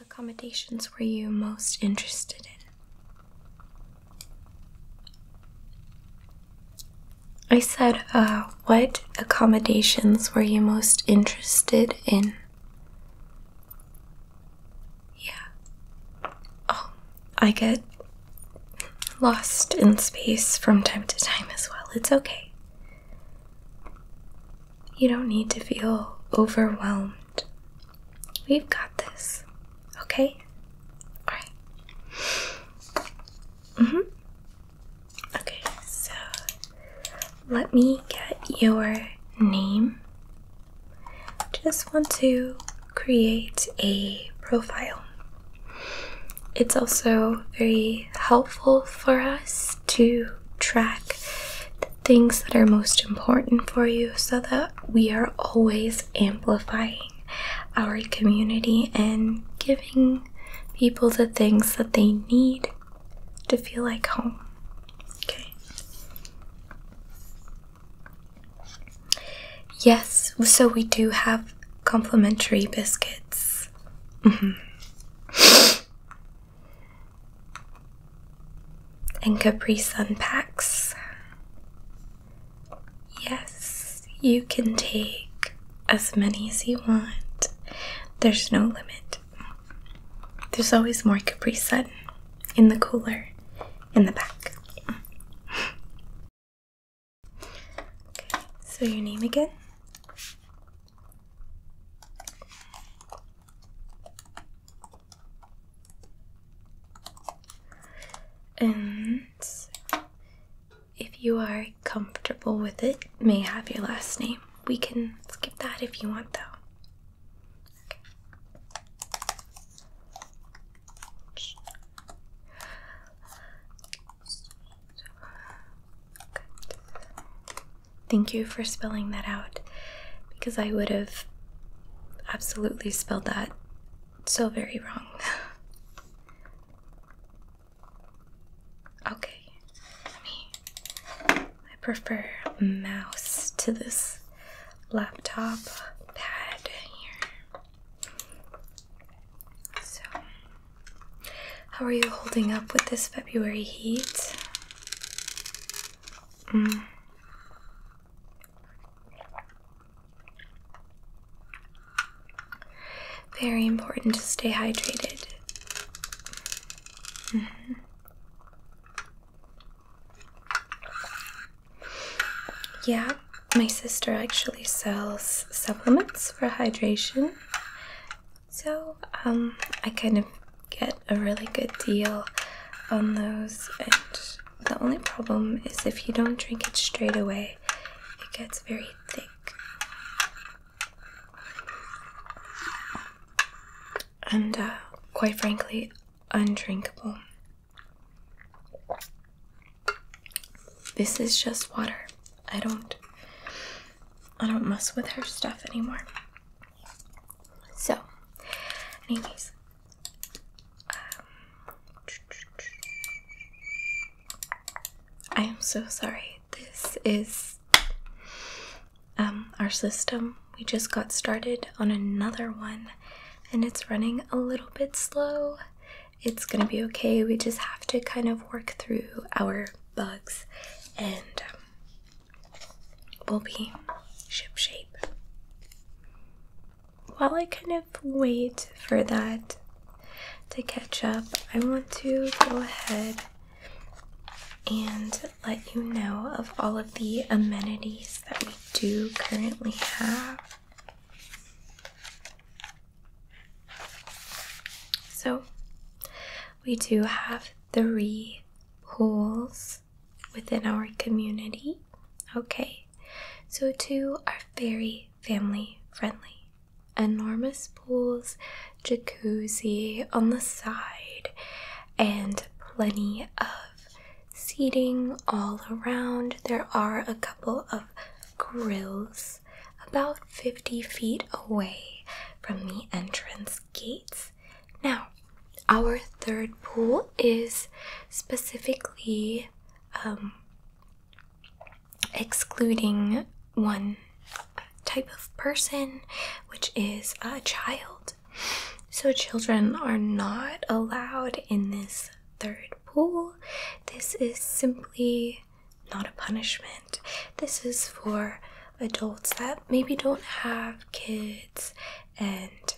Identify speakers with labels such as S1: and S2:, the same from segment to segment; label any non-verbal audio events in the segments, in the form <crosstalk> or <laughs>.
S1: accommodations were you most interested in? I said, uh, what accommodations were you most interested in? Yeah. Oh, I get lost in space from time to time as well. It's okay. You don't need to feel overwhelmed. We've got this. Okay? Alright. Mm hmm. Okay, so let me get your name. Just want to create a profile it's also very helpful for us to track the things that are most important for you so that we are always amplifying our community and giving people the things that they need to feel like home. Okay. Yes, so we do have complimentary biscuits Mm-hmm. and Capri Sun packs. Yes, you can take as many as you want. There's no limit. There's always more Capri Sun in the cooler in the back. Okay, so your name again? And if you are comfortable with it, may have your last name. We can skip that if you want, though. Thank you for spelling that out because I would have absolutely spelled that so very wrong. okay, I prefer mouse to this laptop pad here. So how are you holding up with this February heat? Mm. Very important to stay hydrated. Mm-hmm. Yeah, my sister actually sells supplements for hydration. So um, I kind of get a really good deal on those, and the only problem is if you don't drink it straight away, it gets very thick. And uh, quite frankly, undrinkable. This is just water. I don't I don't mess with her stuff anymore. So, anyways, um, I am so sorry. This is um, our system. We just got started on another one, and it's running a little bit slow it's going to be okay. We just have to kind of work through our bugs and um, we'll be shipshape. While I kind of wait for that to catch up, I want to go ahead and let you know of all of the amenities that we do currently have. So we do have three pools within our community. Okay, so two are very family friendly. Enormous pools, jacuzzi on the side, and plenty of seating all around. There are a couple of grills about 50 feet away from the entrance gates. Now, our third pool is specifically um, excluding one type of person, which is a child. So, children are not allowed in this third pool. This is simply not a punishment. This is for adults that maybe don't have kids and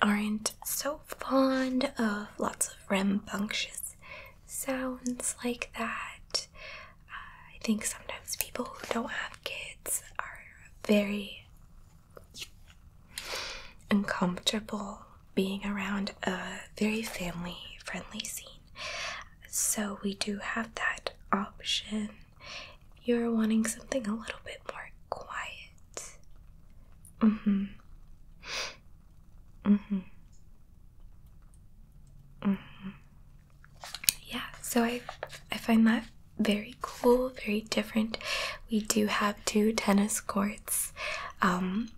S1: aren't so fond of lots of rambunctious sounds like that. I think sometimes people who don't have kids are very uncomfortable being around a very family friendly scene. So we do have that option. you're wanting something a little bit more quiet. Mm-hmm. Mm-hmm. Mm-hmm. Yeah, so I I find that very cool, very different. We do have two tennis courts. Um,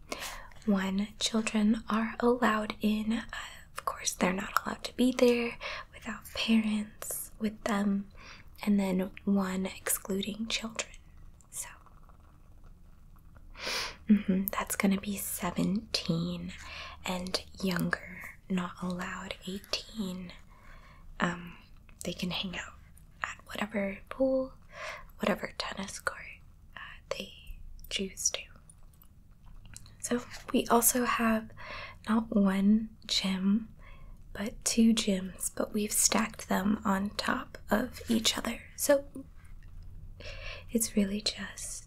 S1: when children are allowed in, uh, of course, they're not allowed to be there without parents with them, and then one excluding children. So mm-hmm, that's going to be 17 and younger, not allowed 18. Um, they can hang out at whatever pool, whatever tennis court uh, they choose to. So, we also have not one gym, but two gyms, but we've stacked them on top of each other. So, it's really just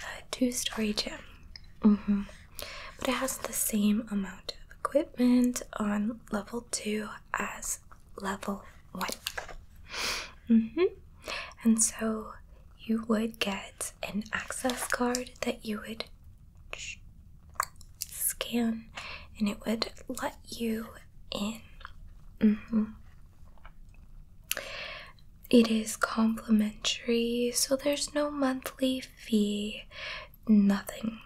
S1: a two story gym. Mm-hmm. But it has the same amount of equipment on level two as level one. Mm-hmm. And so you would get an access card that you would scan and it would let you in. Mm-hmm. It is complimentary, so there's no monthly fee, nothing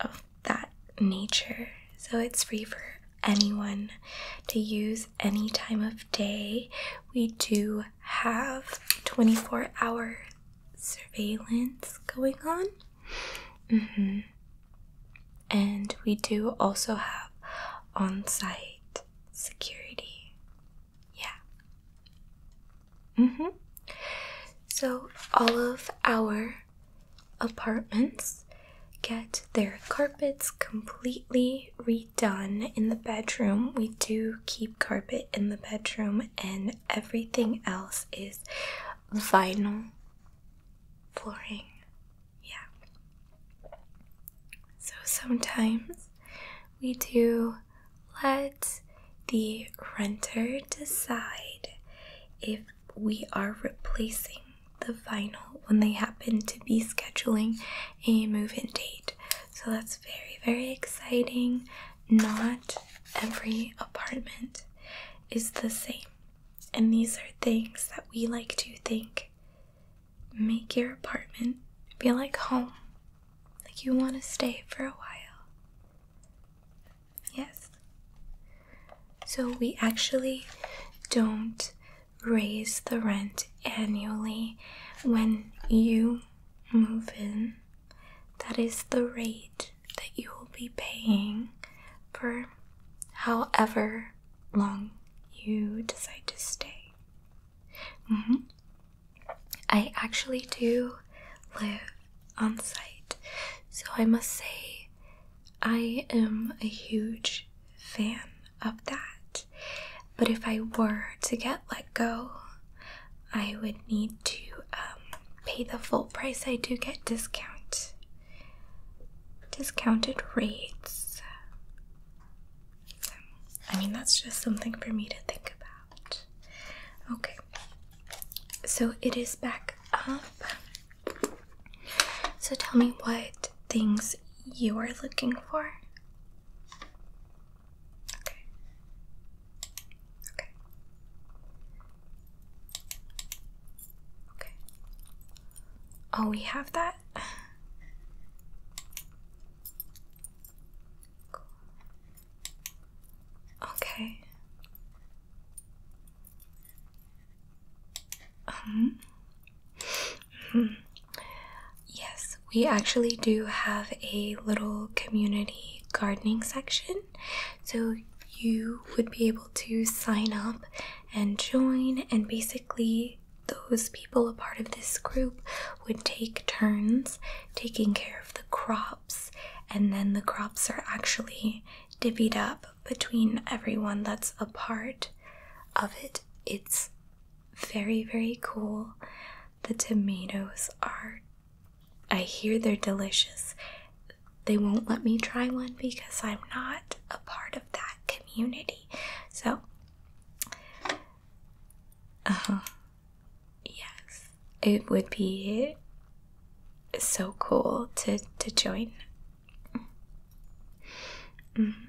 S1: of that nature. So it's free for anyone to use any time of day. We do have 24 hour surveillance going on. Mm-hmm. And we do also have on site security. Yeah. Mm hmm. So all of our apartments get their carpets completely re done in the bedroom. We do keep carpet in the bedroom, and everything else is vinyl flooring. Yeah. So sometimes we do let the renter decide if we are replacing the vinyl when they happen to be scheduling a move in date. So that's very, very exciting. Not every apartment is the same. And these are things that we like to think make your apartment feel like home, like you want to stay for a while. Yes. So we actually don't raise the rent annually when you move in. That is the rate that you will be paying for however long you decide to stay. Mm-hmm. I actually do live on site, so I must say I am a huge fan of that. But if I were to get let go, I would need to um, pay the full price. I do get discount, discounted rates. I mean, that's just something for me to think about. Okay, so it is back up. So tell me what things you are looking for? Okay. Okay. Okay. Oh, we have that? Okay. Um yes, we actually do have a little community gardening section. So you would be able to sign up and join, and basically, those people a part of this group would take turns taking care of the crops, and then the crops are actually divvied up between everyone that's a part of it. It's very, very cool. The tomatoes are, I hear they're delicious. They won't let me try one because I'm not a part of that community. So, uh huh. Yes, it would be so cool to, to join. Mm -hmm.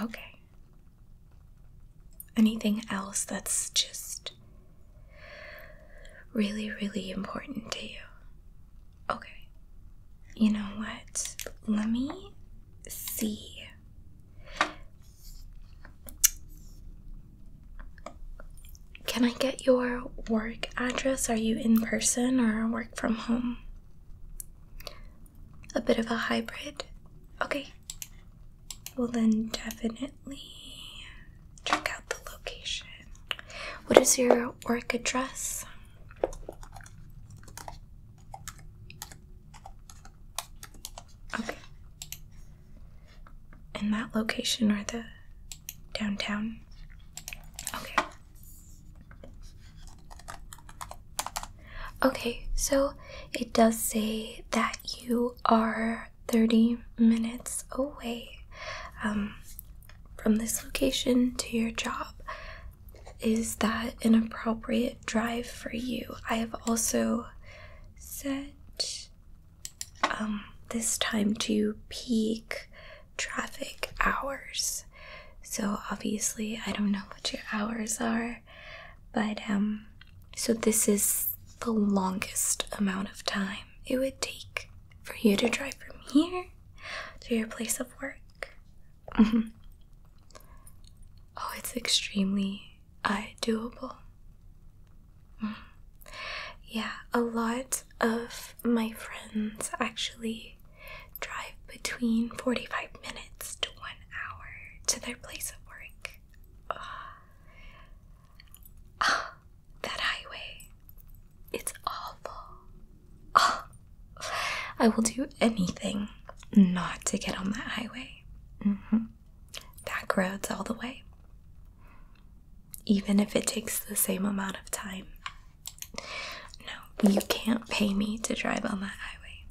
S1: Okay. Anything else that's just really, really important to you? Okay. You know what? Let me see. Can I get your work address? Are you in person or work from home? a bit of a hybrid. Okay. Well, then definitely check out the location. What is your work address? Okay. In that location or the downtown? Okay. Okay, so it does say that you are 30 minutes away um, from this location to your job. Is that an appropriate drive for you? I have also set um, this time to peak traffic hours. So obviously, I don't know what your hours are. But um so this is the longest amount of time it would take for you to drive from here to your place of work. Mm-hmm. Oh, it's extremely uh, doable. Mm-hmm. Yeah, a lot of my friends actually drive between 45 minutes to one hour to their place of work. that highway. It's awful. I will do anything not to get on that highway. Back mm-hmm. roads all the way. Even if it takes the same amount of time. No, you can't pay me to drive on that highway.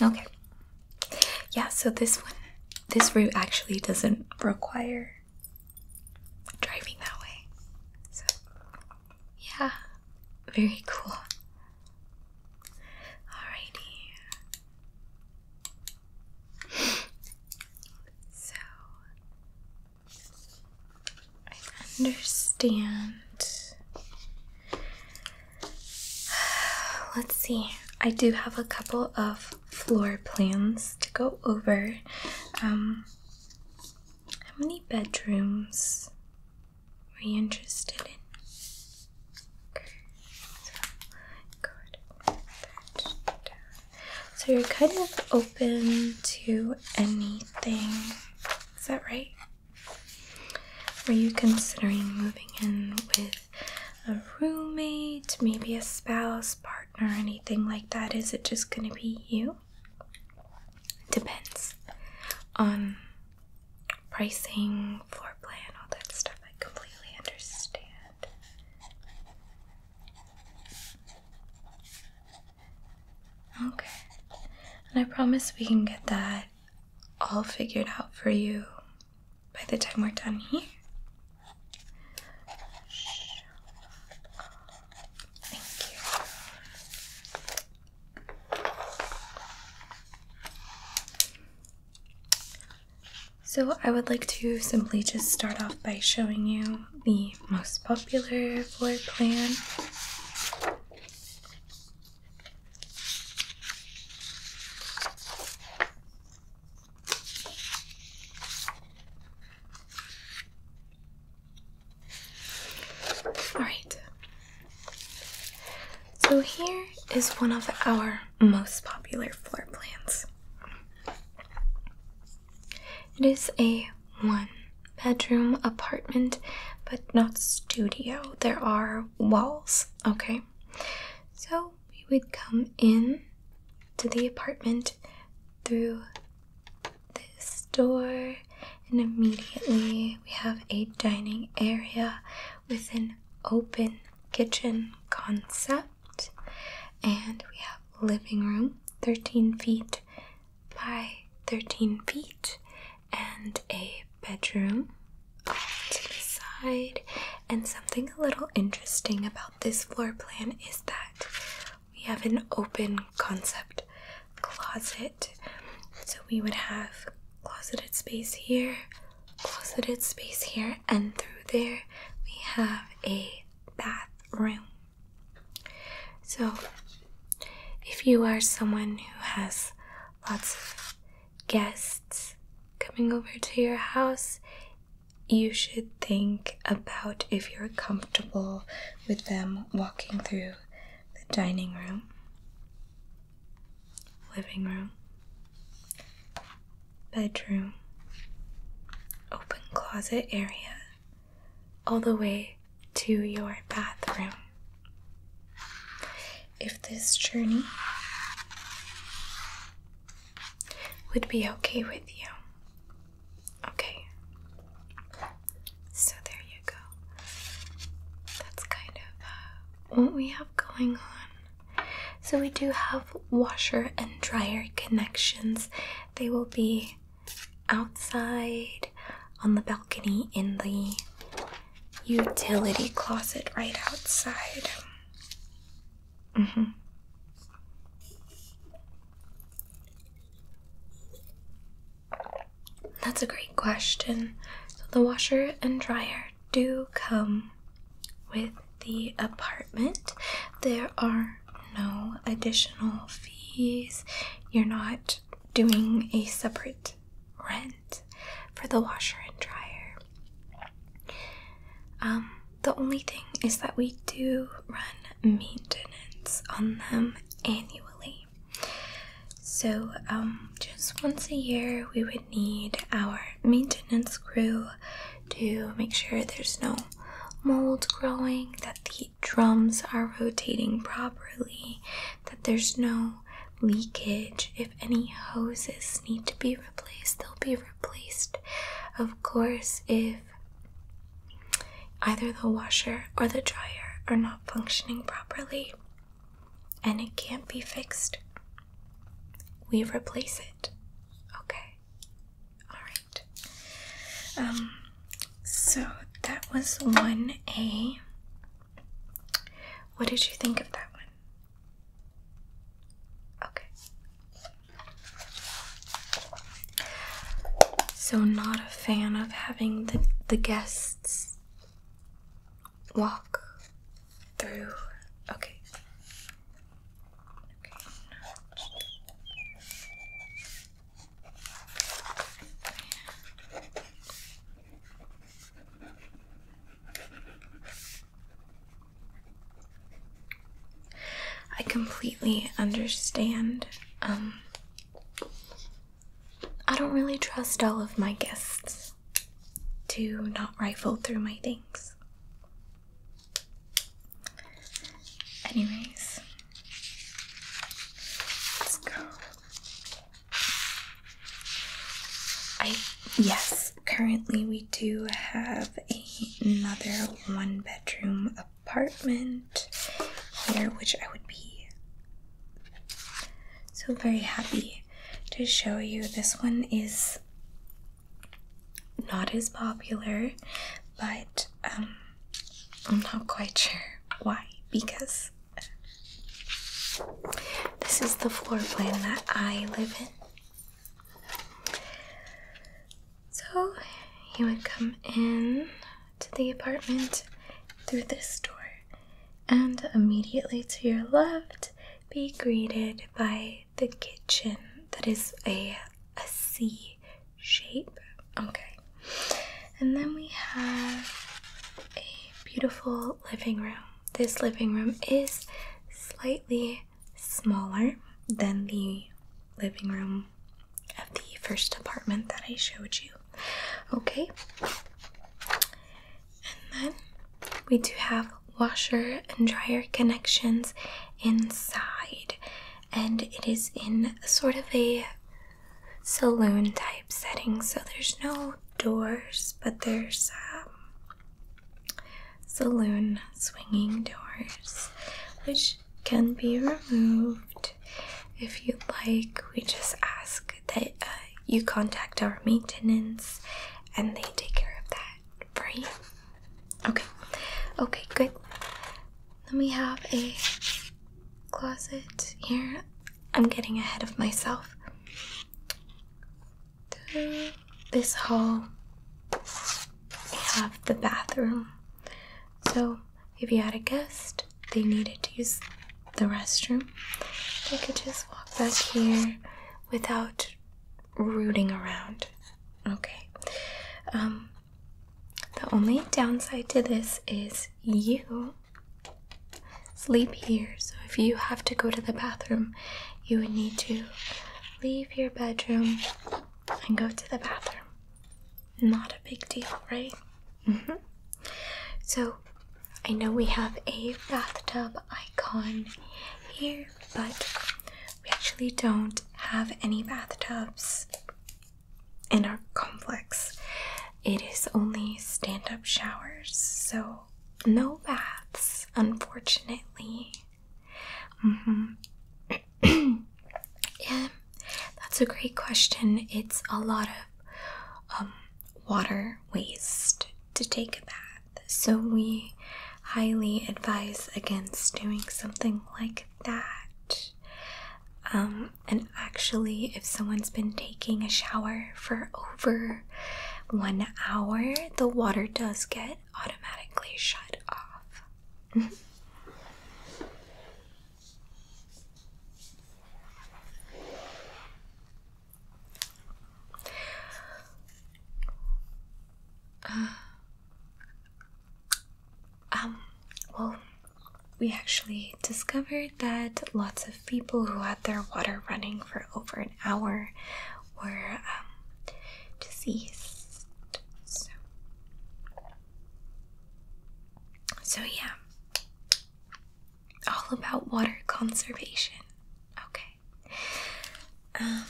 S1: Okay. Yeah, so this one, this route actually doesn't require driving that way. So, yeah, very cool. Alrighty. So, I understand <sighs> Let's see. I do have a couple of floor plans to go over. Um, how many bedrooms are you interested in? so you're kind of open to anything. Is that right? Are you considering moving in with a roommate, maybe a spouse, partner, anything like that? Is it just going to be you? Depends on pricing, floor plan, all that stuff. I completely understand. Okay. And I promise we can get that all figured out for you by the time we're done here. Thank you. So, I would like to simply just start off by showing you the most popular floor plan. Alright, so here is one of our most popular floor plans. It is a one bedroom apartment, but not studio. There are walls Okay, so we would come in to the apartment through this door, and immediately we have a dining area with an open kitchen concept, and we have living room 13 feet by 13 feet and a bedroom to the side. And something a little interesting about this floor plan is that we have an open concept closet. So we would have closeted space here, closeted space here, and through there we have a bathroom. So if you are someone who has lots of guests coming over to your house, you should think about if you're comfortable with them walking through the dining room, living room, bedroom, open closet area, all the way to your bathroom if this journey would be okay with you. Okay. So there you go. That's kind of uh, what we have going on. So we do have washer and dryer connections. They will be outside on the balcony in the utility closet right outside. Mm-hmm. That's a great question. the washer and dryer do come with the apartment. There are no additional fees. You're not doing a separate rent, for the washer and dryer. Um, the only thing is that we do run maintenance on them annually. So, um, just once a year, we would need our maintenance crew to make sure there's no mold growing, that the drums are rotating properly, that there's no leakage. If any hoses need to be replaced, they'll be replaced. Of course, if either the washer or the dryer are not functioning properly and it can't be fixed, we replace it. Okay. Alright. Um, so that was 1A. What did you think of that one? Okay. So not a fan of having the the guests walk through. Okay. I completely understand. Um, I don't really trust all of my guests to not rifle through my things. Anyways, let's go. I yes, currently we do have another one bedroom apartment here which I would be so very happy to show you. This one is not as popular, but um I'm not quite sure why because this is the floor plan that I live in. So you would come in to the apartment through this door and immediately to your left be greeted by the kitchen that is a, a C shape. Okay. And then we have a beautiful living room this living room is slightly smaller than the living room of the first apartment that I showed you. Okay, and then we do have washer and dryer connections inside, and it is in sort of a saloon type setting, so there's no doors, but there's um, saloon swinging doors, which can be removed if you'd like. We just ask that uh, you contact our maintenance and they take care of that for you. Okay, okay, good. Then we have a closet here. I'm getting ahead of myself the, this hall we have the bathroom. So if you had a guest, they needed to use the restroom, they could just walk back here without rooting around. Okay. Um, the only downside to this is you sleep here, so if you have to go to the bathroom, you would need to leave your bedroom and go to the bathroom. Not a big deal, right? Mm-hmm. So, I know we have a bathtub icon here, but we actually don't have any bathtubs in our complex. It is only stand up showers, so no baths, unfortunately. Mm hmm. <clears throat> yeah, that's a great question. It's a lot of um, water waste to take a bath, so we highly advise against doing something like that. Um, and actually, if someone's been taking a shower for over one hour, the water does get automatically shut off. Uh, um, well, we actually discovered that lots of people who their water running for over an hour were um, So. yeah, all about water conservation. Okay. Um,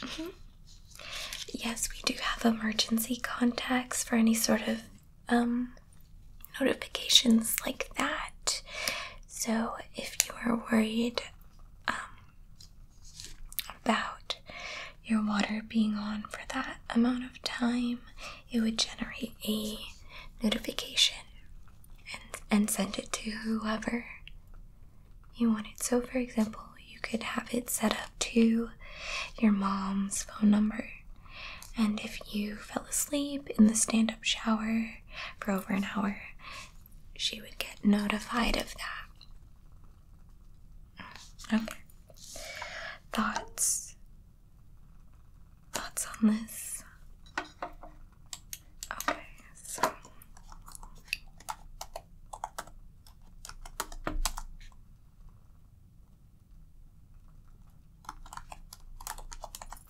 S1: mm-hmm. Yes, we do have emergency contacts for any sort of um, notifications like that. So, if you are worried um, about your water being on for that amount of time, it would generate a notification and, and send it to whoever you want it. So, for example, you could have it set up to your mom's phone number. And if you fell asleep in the stand up shower for over an hour, she would get notified of that. Okay. Thoughts? Thoughts on this? Okay, so.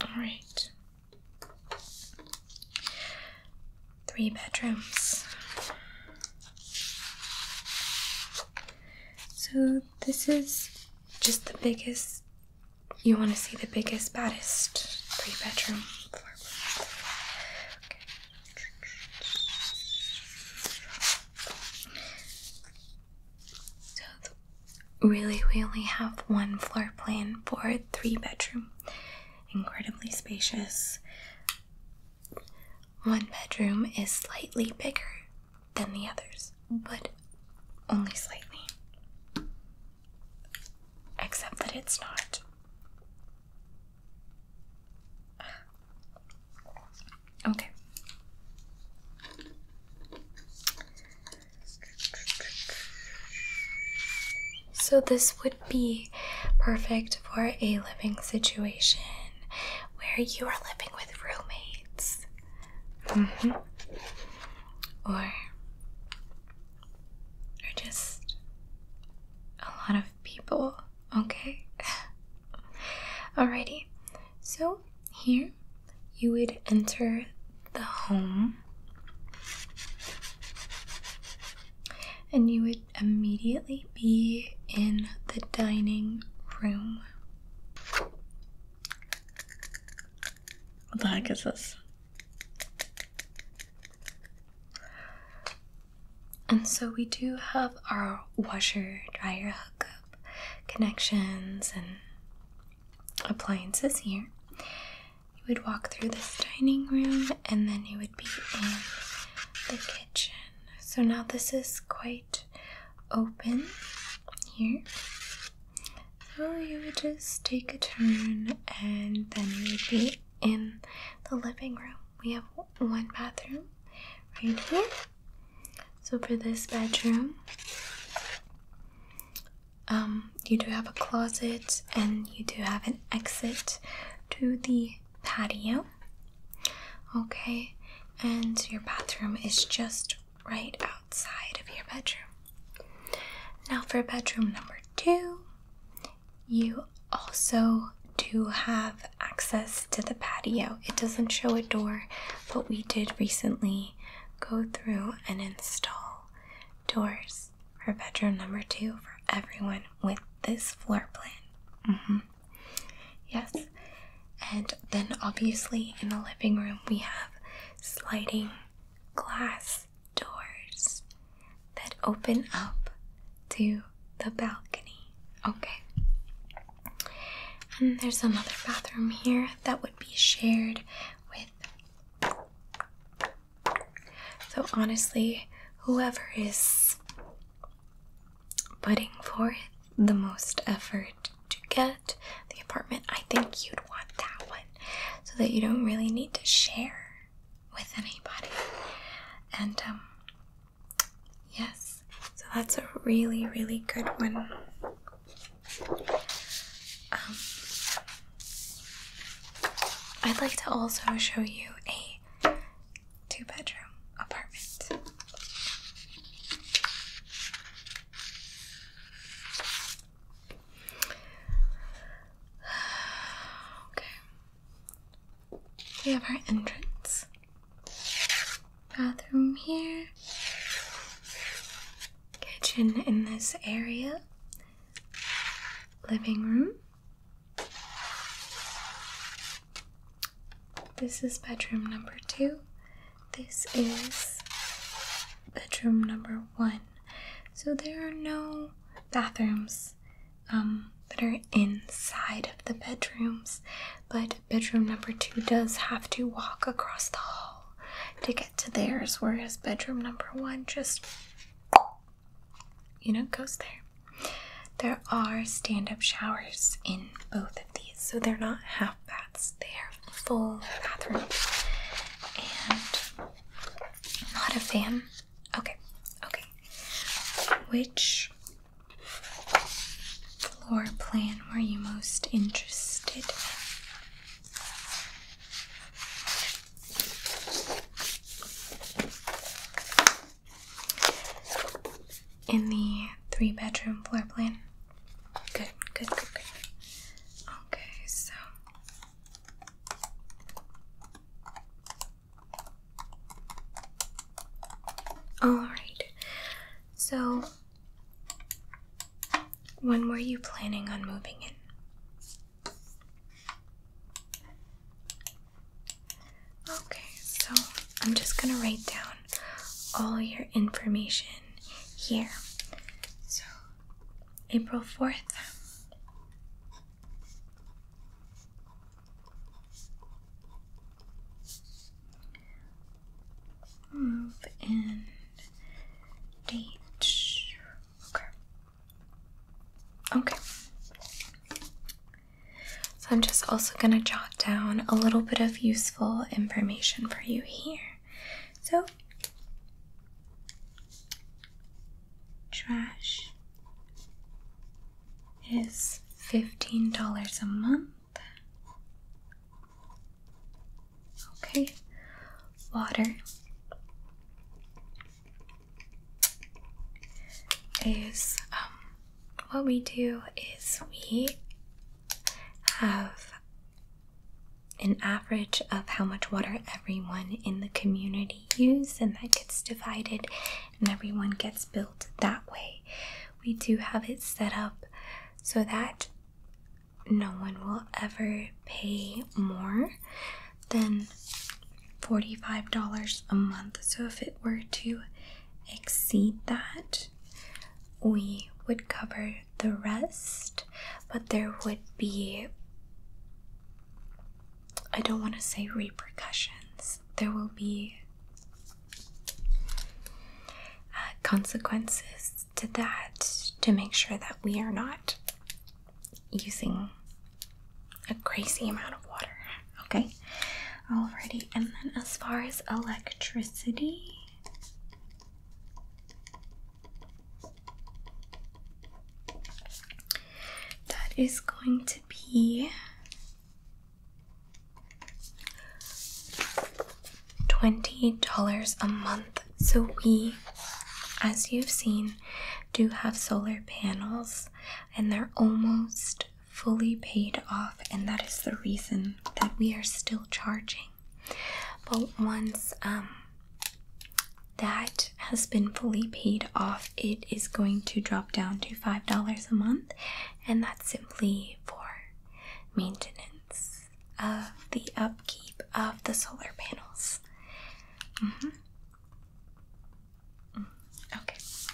S1: All right. Three bedrooms. So, this is just the biggest. You want to see the biggest, baddest three bedroom. Okay. So, really, we only have one floor plan for three bedroom incredibly spacious. One bedroom is slightly bigger than the others, but only slightly. Except that it's not. Okay. So, this would be perfect for a living situation where you are living with roommates. Mm-hmm. Or, or just a lot of people, okay? <laughs> Alrighty, so here you would enter the home and you would immediately be in the dining room. What the heck is this? And so we do have our washer dryer hookup connections and appliances here. You would walk through this dining room and then you would be in the kitchen. So now this is quite open here. So you would just take a turn and then you would be in the living room. We have one bathroom right here. So for this bedroom, um, you do have a closet and you do have an exit to the patio. Okay, and your bathroom is just right outside of your bedroom. Now, for bedroom number two, you also do have access to the patio. It doesn't show a door, but we did recently go through and install doors for bedroom number two for everyone with this floor plan. Mm-hmm. Yes. And then, obviously, in the living room, we have sliding glass doors that open up to the balcony. Okay. And there's another bathroom here that would be shared with so, honestly, whoever is putting forth the most effort to get the apartment, I think you'd want that one so that you don't really need to share with anybody. And, um, yes, so that's a really, really good one. Um, I'd like to also show you a two bedroom apartment. <sighs> Okay. We have our entrance. Bathroom here. Kitchen in this area living room. This is bedroom number two. This is bedroom number one. So there are no bathrooms um, that are inside of the bedrooms, but bedroom number two does have to walk across the hall to get to theirs, whereas bedroom number one just you know, goes there. There are stand up showers in both of these, so they're not half baths, they are full bathrooms. And not a fan. Okay, okay. Which floor plan were you most interested in? In the three bedroom floor plan? Good, good, good, good. Okay, so. Alright, so when were you planning on moving in? Okay, so I'm just gonna write down all your information here. So, April 4th. Move and date. Okay. Okay. So I'm just also going to jot down a little bit of useful information for you here. So, trash is $15 a month. Okay, water is um, what we do is we have an average of how much water everyone in the community used and that gets divided and everyone gets billed that way we do have it set up so that no one will ever pay more then $45 a month. So if it were to exceed that, we would cover the rest, but there would be, I don't want to say repercussions, there will be uh, consequences to that to make sure that we are not using a crazy amount of water. Okay, alrighty. And then as far as electricity, that is going to be. 20 dollars a month so we as you've seen do have solar panels and they're almost fully paid off, and that is the reason that we are still charging. But once um, that has been fully paid off, it is going to drop down to $5 a month, and that's simply for maintenance of the upkeep of the solar panels. Mm-hmm. Mm, okay. So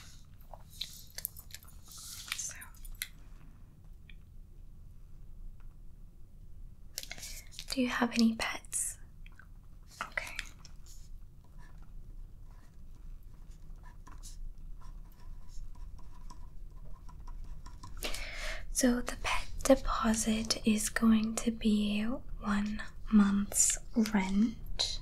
S1: do you have any pets? Okay. So the pet deposit is going to be one month's rent.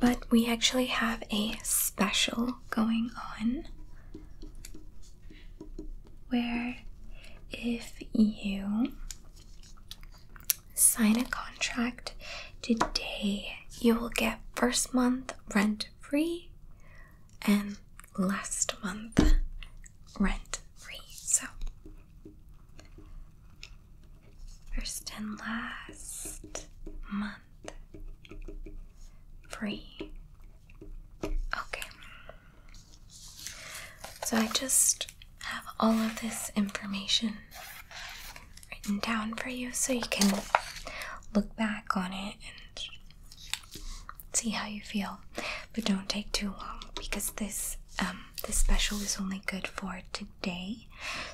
S1: But we actually have a special going on where if you sign a contract today, you will get first month rent free and last month rent free. So, first and last month free. Okay. So, I just have all of this information written down for you so you can look back on it see how you feel. But don't take too long because this um, this special is only good for today.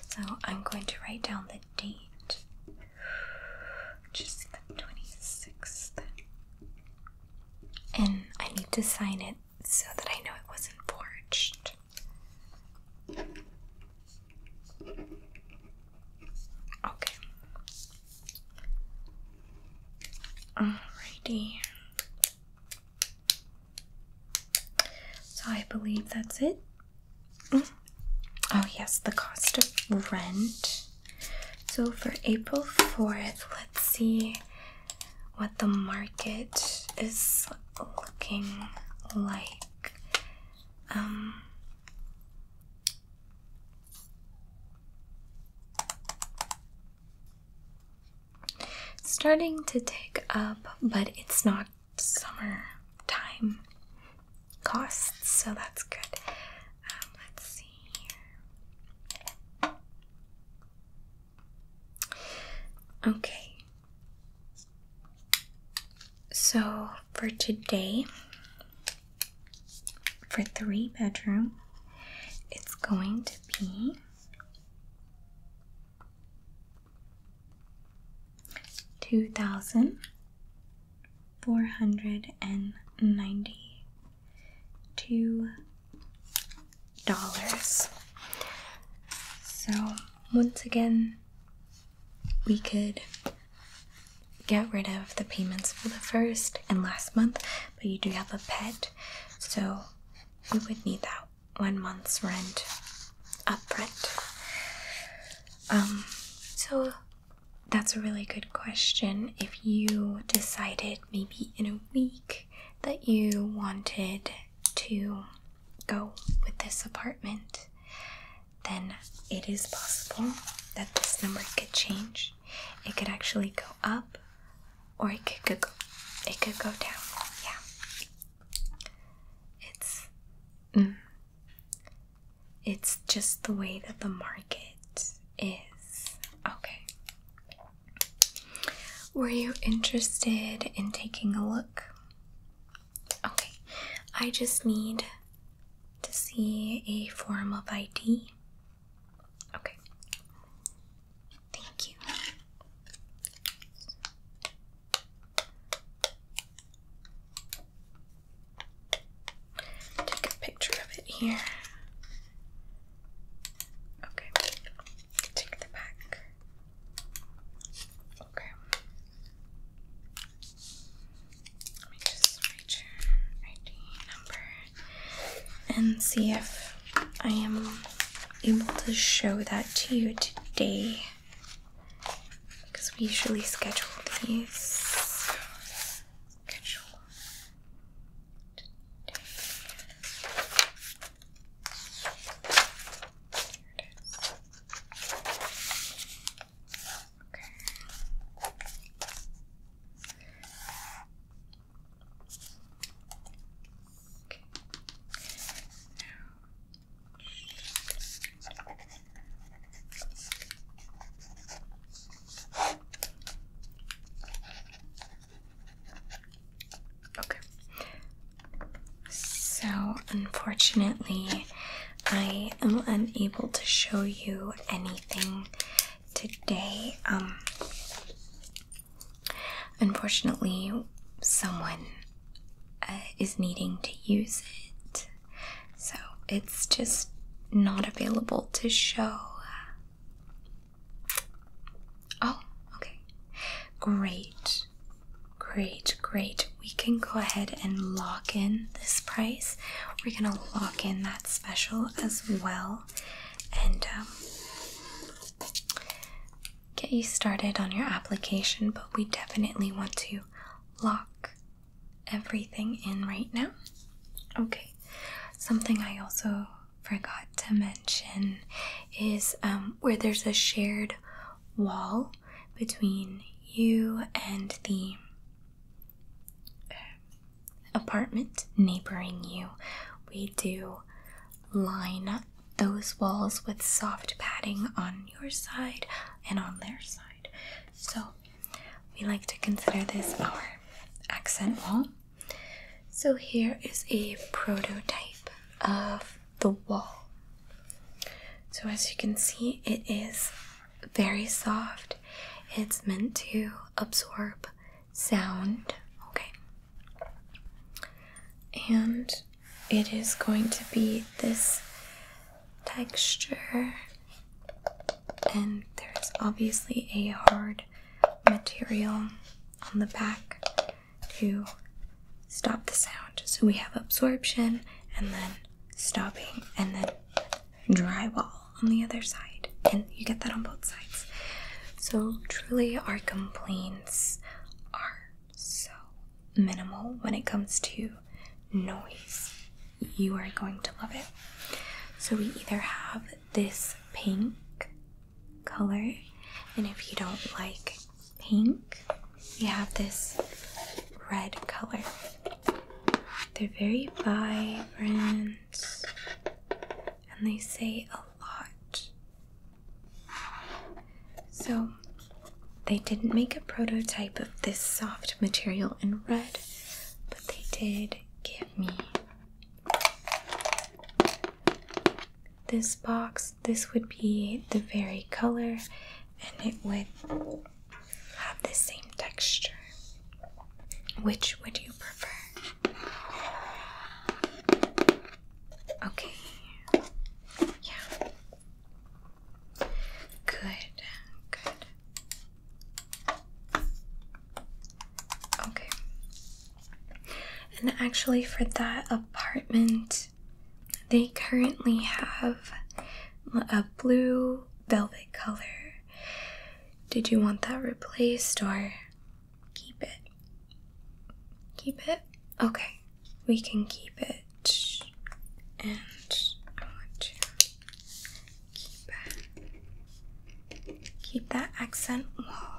S1: So I'm going to write down the date. Just the 26th. And I need to sign it so that I know it wasn't forged. Okay. Alrighty. So I believe that's it. Oh, yes, the cost of rent. So for April 4th, let's see what the market is looking like. Um, starting to take up, but it's not summer time costs, so that's good. Um, let's see Okay. So for today for three bedroom it's going to be two thousand four hundred and ninety two dollars so once again we could get rid of the payments for the first and last month, but you do have a pet, so we would need that one month's rent upfront. Um, so that's a really good question. If you decided maybe in a week that you wanted to go with this apartment, then it is possible that this number could change. It could actually go up or it could, go it could go down. Yeah. It's mm, it's just the way that the market is. Okay. Were you interested in taking a look? Okay. I just need to see a form of ID? Okay. Thank you. Take a picture of it here. Okay. Take the back. Okay. Let me just reach your ID number and see if I am able to show that to you today. Because we usually schedule these. Okay. Okay. So, unfortunately, I am unable to show you anything today. Um, unfortunately, someone uh, is needing to use it, so it's just not available to show. Oh, okay. Great. Great, great. We can go ahead and lock in this price. We're going to lock in that special as well and um, get you started on your application, but we definitely want to lock everything in right now. Okay, something I also forgot to mention is um, where there's a shared wall between you and the apartment neighboring you, we do line those walls with soft padding on your side and on their side. So we like to consider this our accent wall. So here is a prototype of the wall. So as you can see, it is very soft. It's meant to absorb sound, okay? And it is going to be this texture, and there's obviously a hard material on the back to stop the sound. So we have absorption and then stopping and then drywall on the other side, and you get that on both sides. So, truly, our complaints are so minimal when it comes to noise. You are going to love it. So, we either have this pink color, and if you don't like pink, we have this red color. They're very vibrant and they say a lot. So, they didn't make a prototype of this soft material in red, but they did give me this box. This would be the very color, and it would have the same texture. Which would you prefer? Okay. Yeah. Good. Good. Okay. And actually, for that apartment, they currently have a blue velvet color did you want that replaced or keep it? Keep it? Okay, we can keep it. And I want to keep it. Keep that accent wall.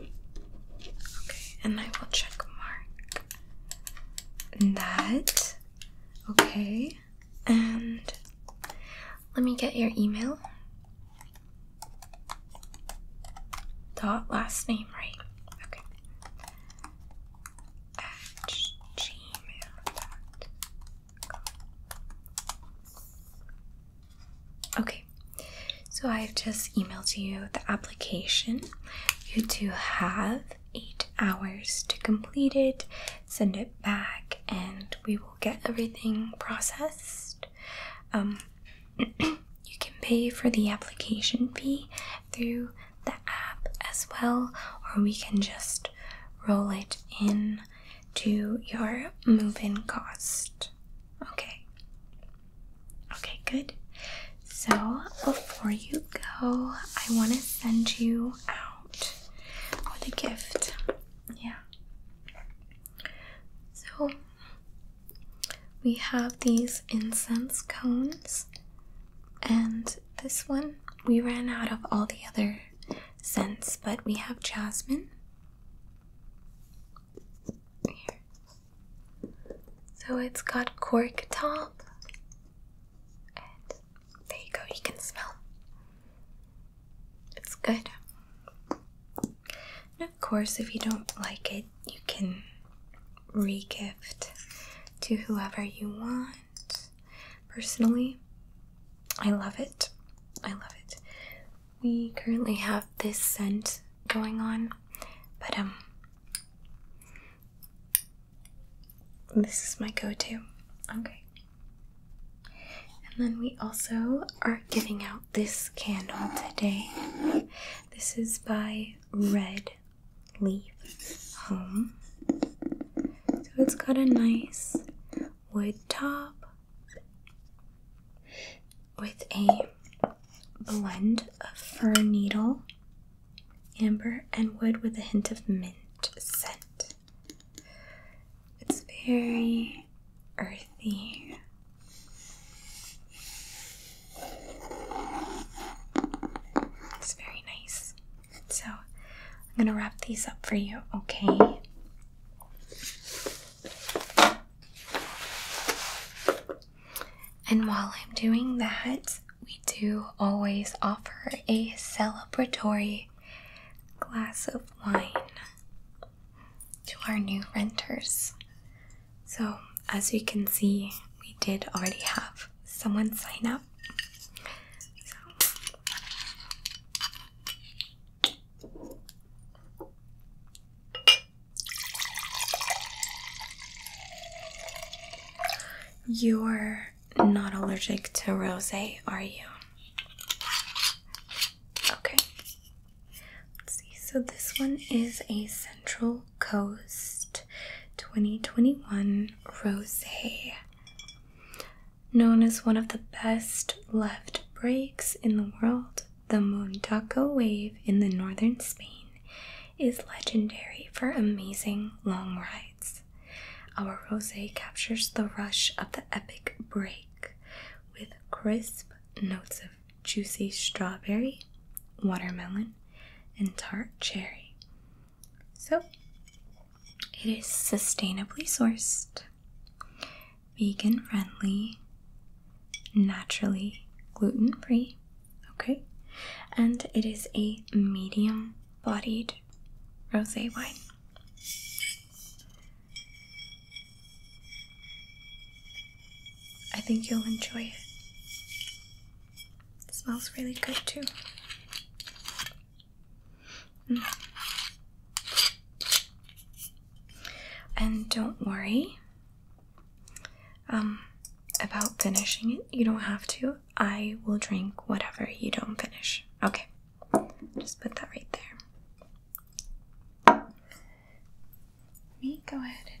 S1: Okay, and I will check mark that Okay, and let me get your email. Dot last name, right? Okay. At gmail.com. Okay, so I've just emailed you the application. You do have eight hours to complete it, send it back, and we will get everything processed. Um, <clears throat> you can pay for the application fee through the app as well, or we can just roll it in to your move in cost. Okay. Okay, good. So, before you go, I want to send you out with a gift. Yeah. So, we have these incense cones, and this one we ran out of all the other scents, but we have jasmine. So, it's got cork top. And there you go, you can smell. It's good. of course, if you don't like it, you can regift to whoever you want. Personally, I love it. I love it. We currently have this scent going on, but um this is my go to. Okay. And then we also are giving out this candle today. This is by Red Leaf Home. So it's got a nice wood top with a blend of fir needle amber and wood with a hint of mint scent. It's very earthy. It's very nice. So, I'm going to wrap these up for you, okay? And while I'm doing that, we do always offer a celebratory glass of wine to our new renters. So, as you can see, we did already have someone sign up. Your not allergic to rosé, are you? Okay. Let's see. So this one is a Central Coast 2021 rosé. Known as one of the best left breaks in the world, the Mondaco wave in the northern Spain is legendary for amazing long rides. Our rosé captures the rush of the epic break with crisp notes of juicy strawberry, watermelon, and tart cherry. So, it is sustainably sourced, vegan friendly, naturally gluten free, okay? And it is a medium bodied rose wine. I think you'll enjoy it. smells really good too. Mm. And don't worry um, about finishing it. You don't have to. I will drink whatever you don't finish. Okay, just put that right there. me go ahead and.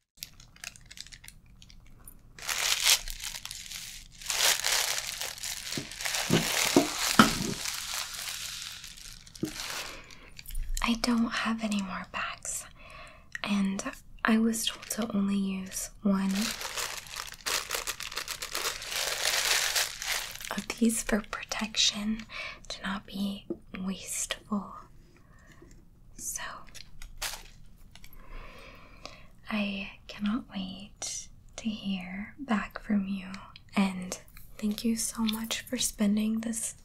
S1: I don't have any more bags, and I was told to only use one of these for protection to not be wasteful. So, I cannot wait to hear back from you. And thank you so much for spending this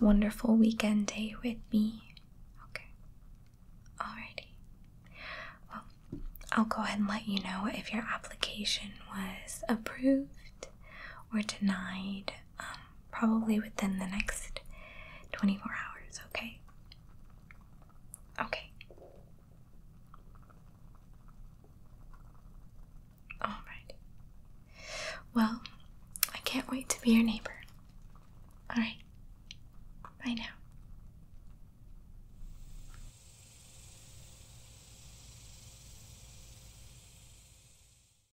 S1: wonderful weekend day with me. Okay. Alrighty. Well, I'll go ahead and let you know if your application was approved approved or denied um, probably within the next 24 hours, okay? Okay. Alright. Well, I can't wait to be your neighbor. Alright. Bye now.